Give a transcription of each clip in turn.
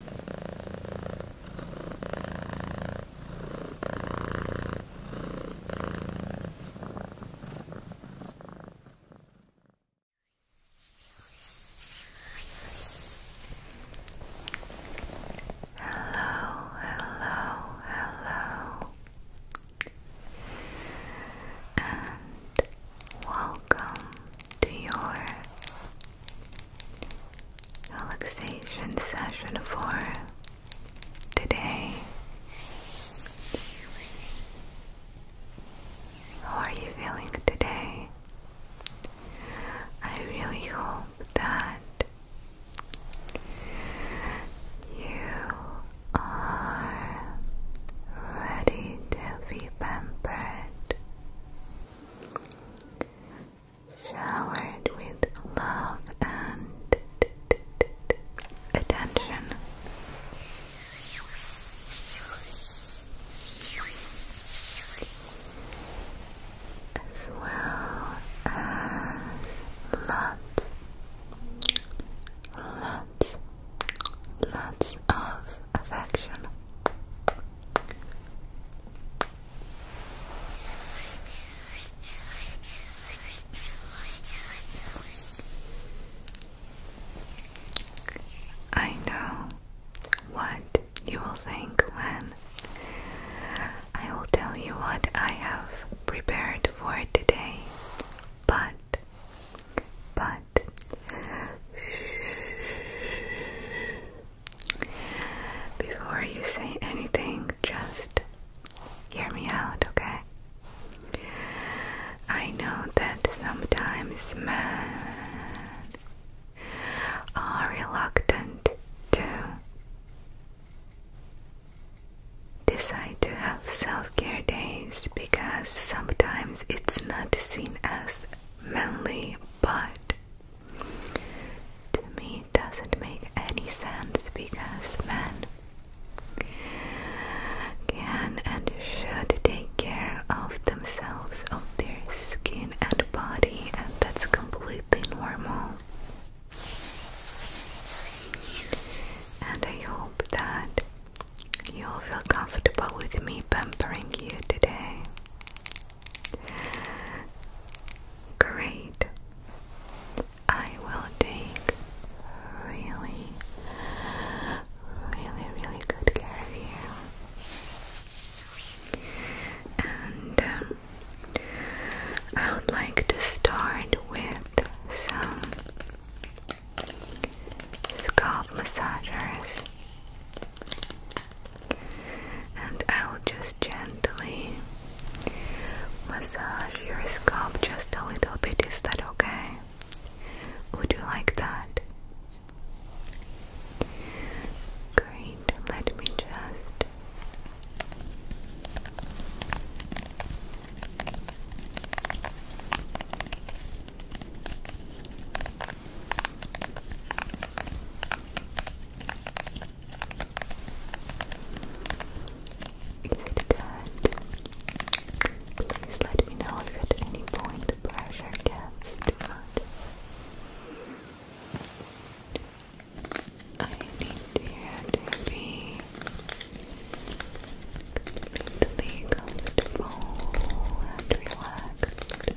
Hello, hello, hello, and welcome to your relaxation session for today. How are you feeling today? I really hope that you are ready to be pampered showered with love and attention. As well as lots, lots, lots of affection, I know what you will think when I will tell you what I have prepared for today, but but before you say anything, just hear me out, okay? I know that sometimes men are reluctant to decide to have self-care days because sometimes it's not seen as manly, but to me it doesn't make any sense because men can and should take care of themselves, of their skin and body, and that's completely normal. And I hope that you'll feel comfortable with me pampering you today. Great. I will take really, really, really good care of you. And um, I would like to start with some scalp massagers and I'll just gently massage your scalp just a little bit. Is that okay? Would you like that? Great, let me just. Is it good? Please let me know if at any point the pressure gets too much. I need there to be completely comfortable and relaxed.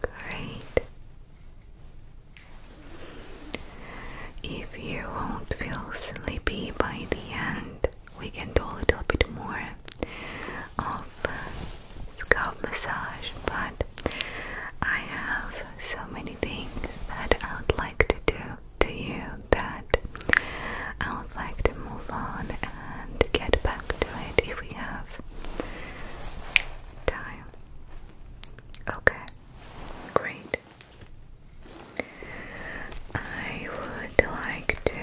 Great. If you won't feel sleepy by the end, we can do a little bit more of scalp massage, but I have so many things that I would like to do to you that I would like to move on and get back to it if we have enough time. Okay, great. I would like to.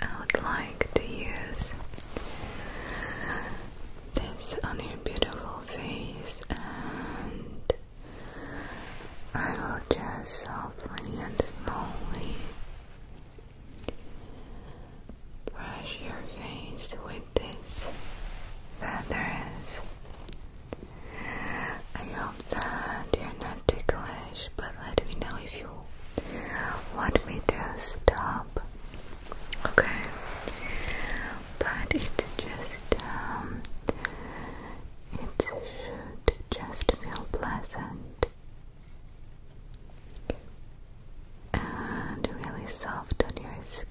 I would like to use this on your beautiful face, and I will just softly and slowly Brush your face with these feathers. I hope that you're not ticklish, but let me know if you want me to stop. Okay, but it's just um, it should just feel pleasant and really soft on your skin.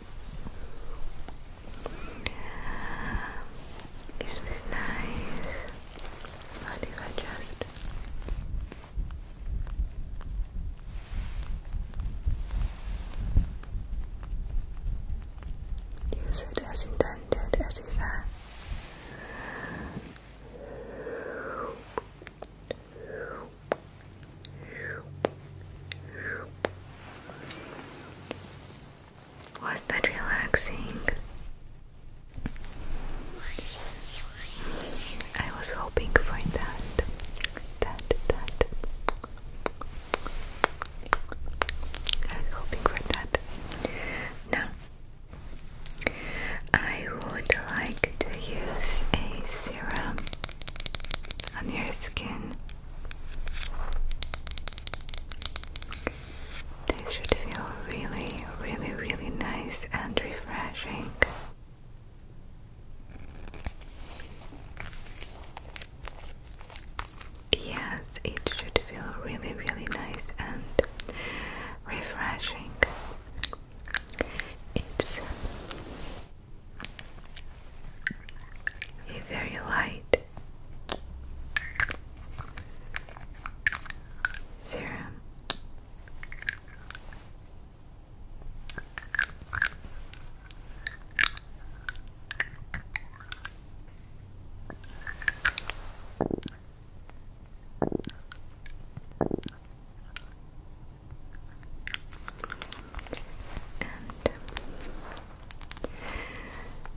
Isn't nice? How do you adjust? Use it as intended, as if I uh, was that relaxing? I was hoping for that. That, that. I was hoping for that. Now, I would like to use a serum on your skin. They should feel really, really, really nice and refreshing. Yes, it should feel really, really nice and refreshing. It's a very light serum.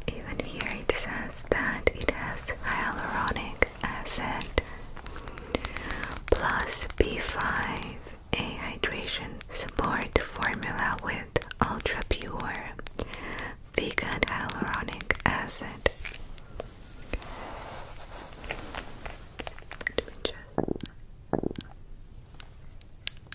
Even here it says that it has hyaluronic acid plus B5, a hydration support formula with ultra pure vegan hyaluronic acid.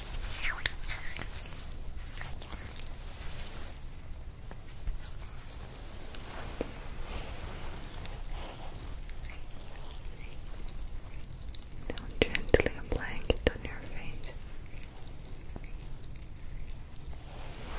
Now gently applying it on your face. Now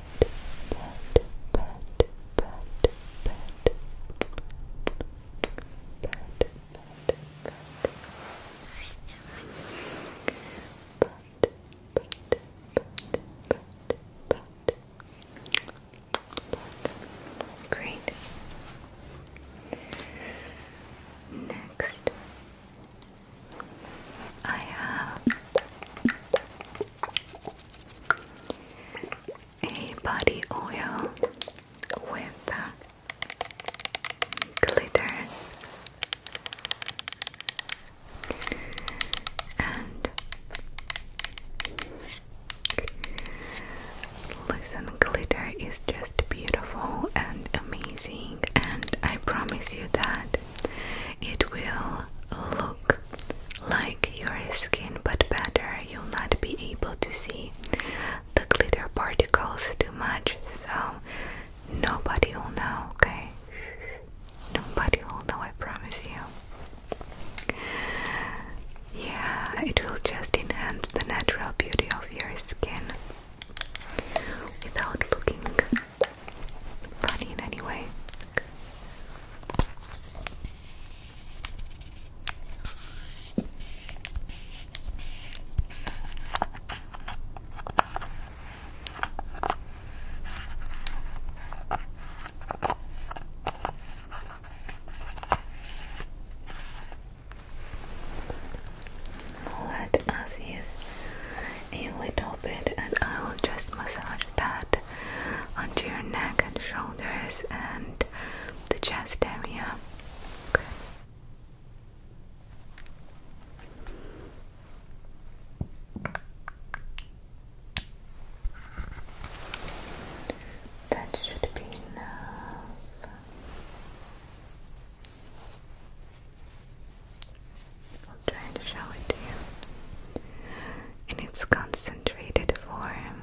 pet, pet, pet, pet. Pet, pet, pet. Pet, pet, pet, pet, pet. Great. Next, I have a body oil with uh, glitter and listen glitter is just beautiful and amazing and I promise you that it. will look like your skin, but better. You'll not be able to see the glitter particles too much, so nobody will know, okay? Nobody will know, I promise you. Yeah, it will just enhance the natural beauty of your skin without looking funny in any way. Let us use a little bit, and I will just massage that out onto your neck and shoulders and the chest area. That should be enough. I'm trying to show it to you. and its concentrated form.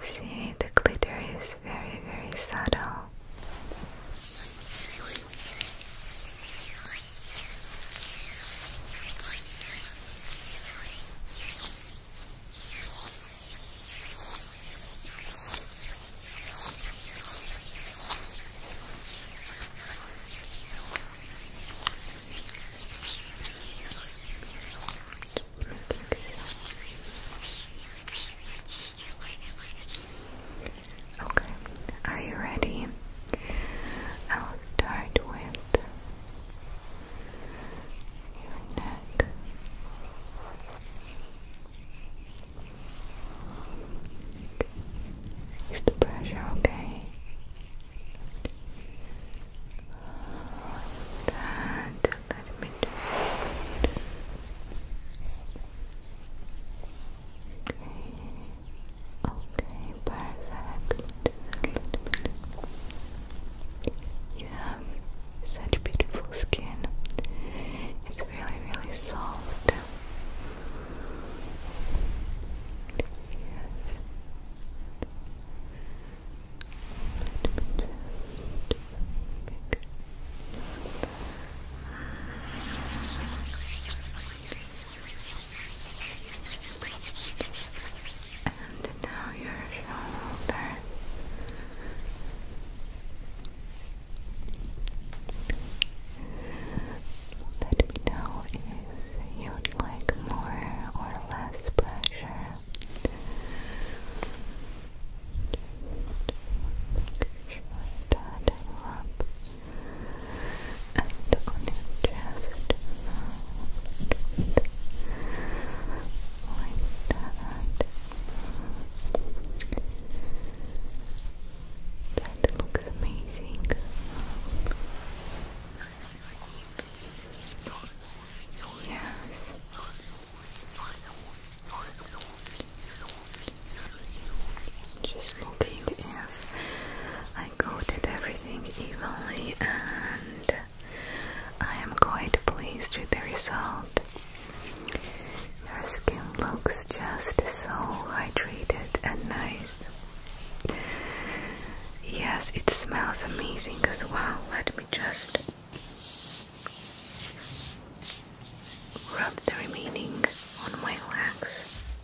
See, the glitter is very, very subtle. Okay, are you ready? I'll start with your neck. Use the pressure, okay? And let Okay. Okay, perfect. You have such beautiful skin. It's really, really soft. And now your shoulder. Let me know if you'd like more or less pressure. Make up and on your chest. Like that. That looks amazing. Yes. Just looking if I coated everything evenly and I am quite pleased with the result. Your skin looks just so hydrated and nice. Yes, it smells amazing as well. Let me just rub the remaining on my legs.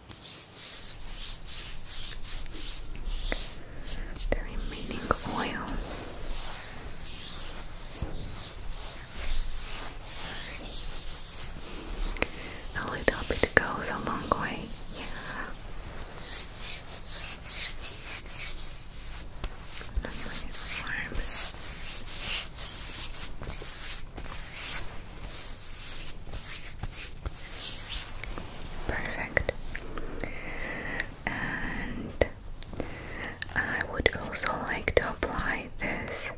The remaining oil. A little bit goes a long way. Yeah. Perfect. And I would also like to apply this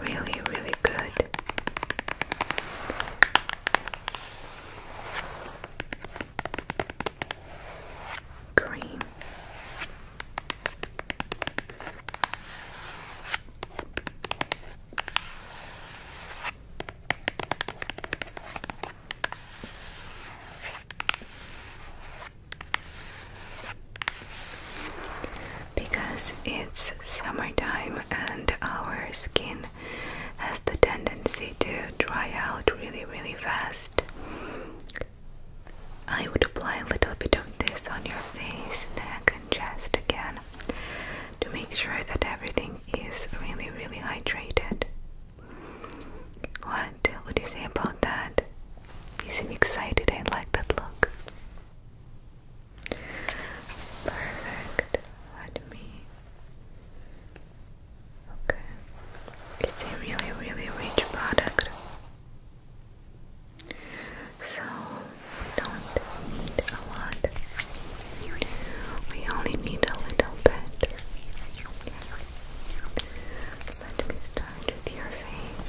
Really, really good. Cream. Because it's summertime and our skin has the tendency to dry out really, really fast. I would apply a little bit of this on your face, neck, and chest again to make sure that everything is really, really hydrated. What would you say about that? You seem excited, I like that look. Perfect. Let me. Okay. It's a really, really rich product. So don't need a lot. We only need a little bit. Let me start with your face.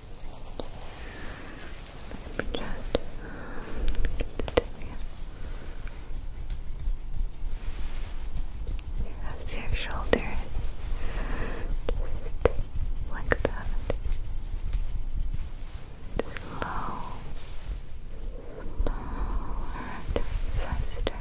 Let me just get it in here. your shoulder? Just like that. Slow. Slower faster.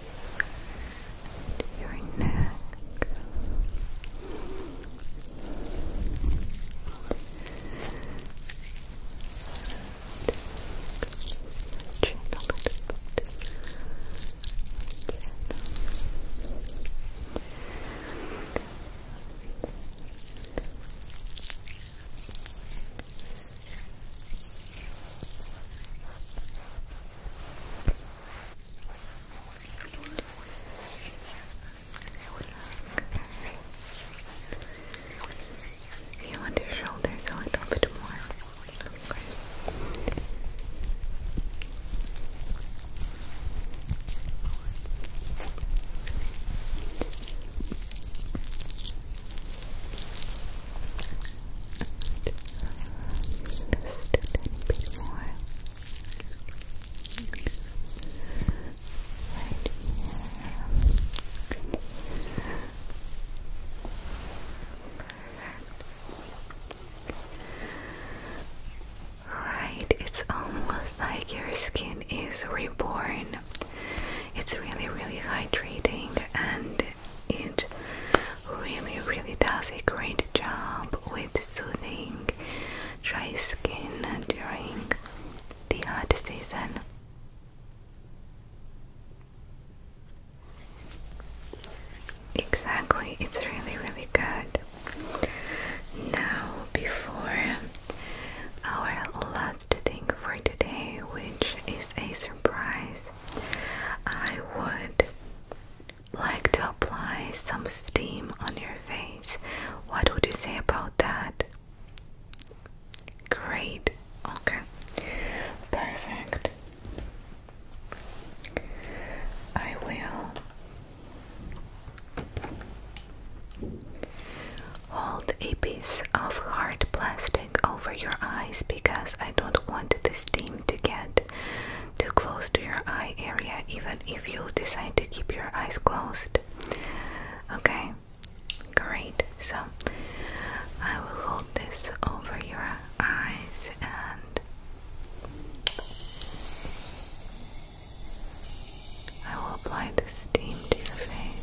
to your neck. Chin a little bit. Chin. You want your shoulders a little bit more, Right, it's almost like your skin is reborn. It's really, really hydrating and it really, really does a great job with soothing dry skin during the hot season. Exactly, it's really, really good. Now, before our last thing for today, which is a surprise I would like to apply some steam on your face. What would you say about that? Great. Okay. Perfect. I will hold a piece of hard plastic over your eyes because I don't want the steam to get too close to your eye area even if you decide to keep your eyes closed. Okay, great. So I will hold this over your eyes and I will apply the steam to your face.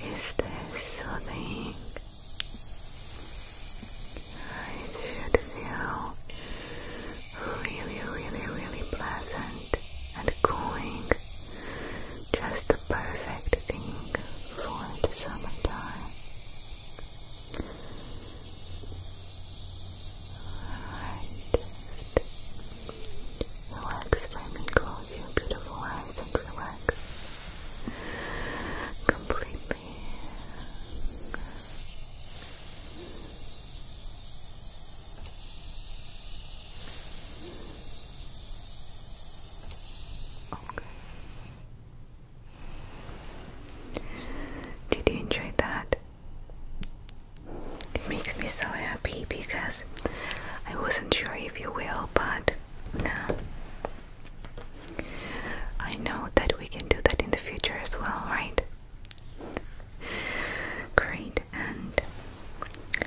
Is this something I should feel really, really, really pleasant and cooling. Just the perfect thing for the summertime. Alright, just relax. Let me close your beautiful eyes and relax, completely. Okay. Did you enjoy that? It makes me so happy because I wasn't sure if you will, but now I know that we can do that in the future as well, right? Great, and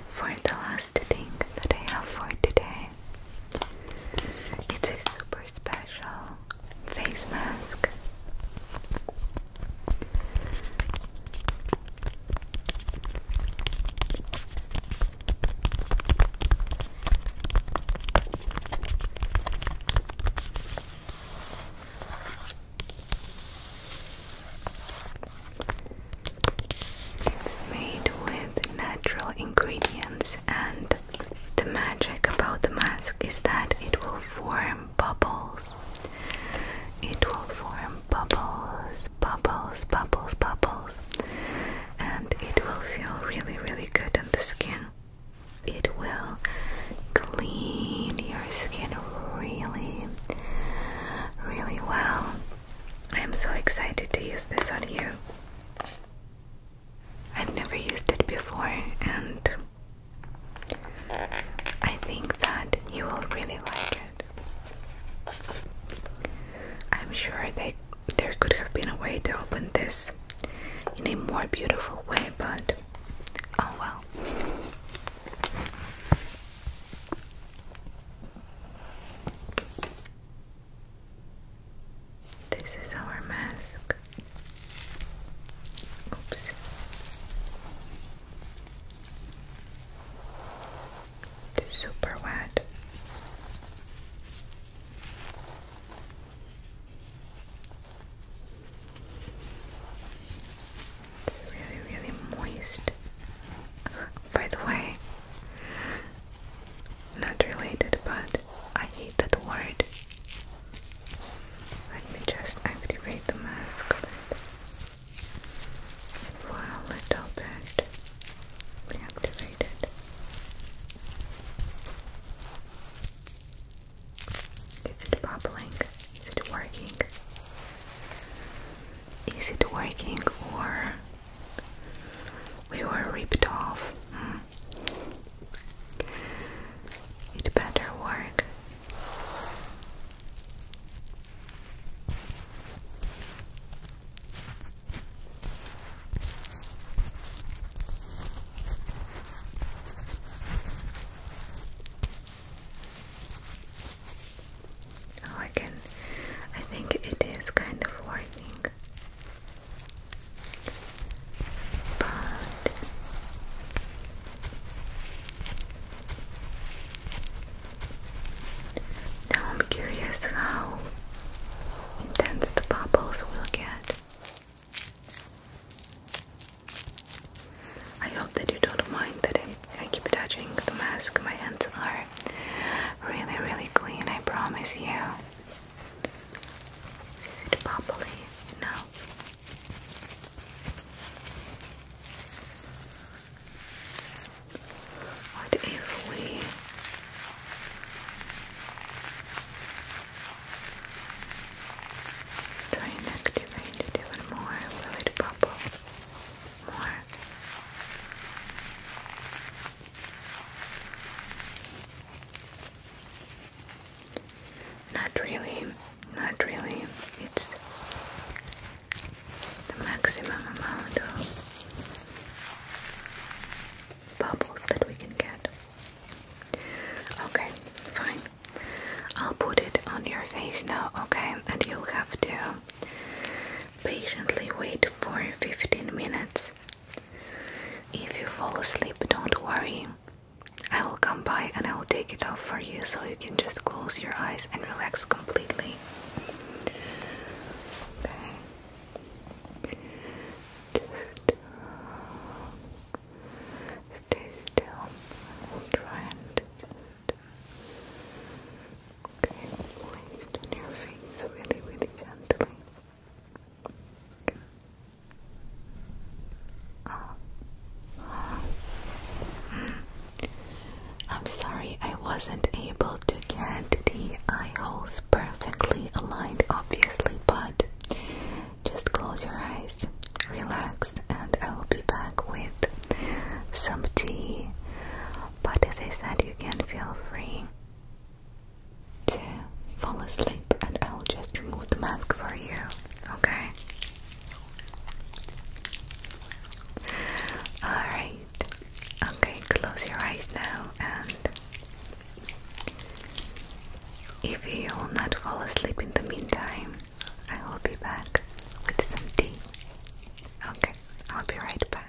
for the last thing that I have for today, it's a super special face mask. It's made with natural ingredients, and the magic about the mask is that it will form bubbles. It will form bubbles, bubbles, bubbles, bubbles and it will feel really really good on the skin it will clean your skin really really well I'm so excited to use this on you I've never used it before and I think that you will really like it I'm sure that there could have been a way to open this in a more beautiful way, but oh well. This is our mask. Oops super wet. really, really moist. By the way, not related, but I hate that word. Let me just activate the mask for a little bit reactivated. Is it bubbling? Is it working? Is it working or we were ripped off? Hmm. It better work. Oh, I can. I think it is kind of working, but now I'm curious how intense the bubbles will get. I hope that you don't mind that I, keep touching the mask. My hands are really, really clean, I promise you. Is it bubbly? No. What if we try and activate even more? Will it pop more? Not really, not really. It's the maximum amount of bubbles that we can get. Okay, fine. I'll put it on your face now, okay? And you'll have to patiently wait for 15 minutes. If you fall asleep, don't worry. I will come by and I will take it off for you so you can just close your eyes and relax completely. Okay. Just stay still. We'll try and just okay, placed on your face really, really gently. I'm sorry I wasn't able to get the eye holes perfectly aligned, obviously, but just close your eyes, relax, and I will be back with some tea. But as I said, you can feel free to fall asleep, and I'll just remove the mask for you, okay? Alright, Okay, close your eyes now, and if you will not fall asleep in the meantime, I will be back with some tea. Okay, I'll be right back.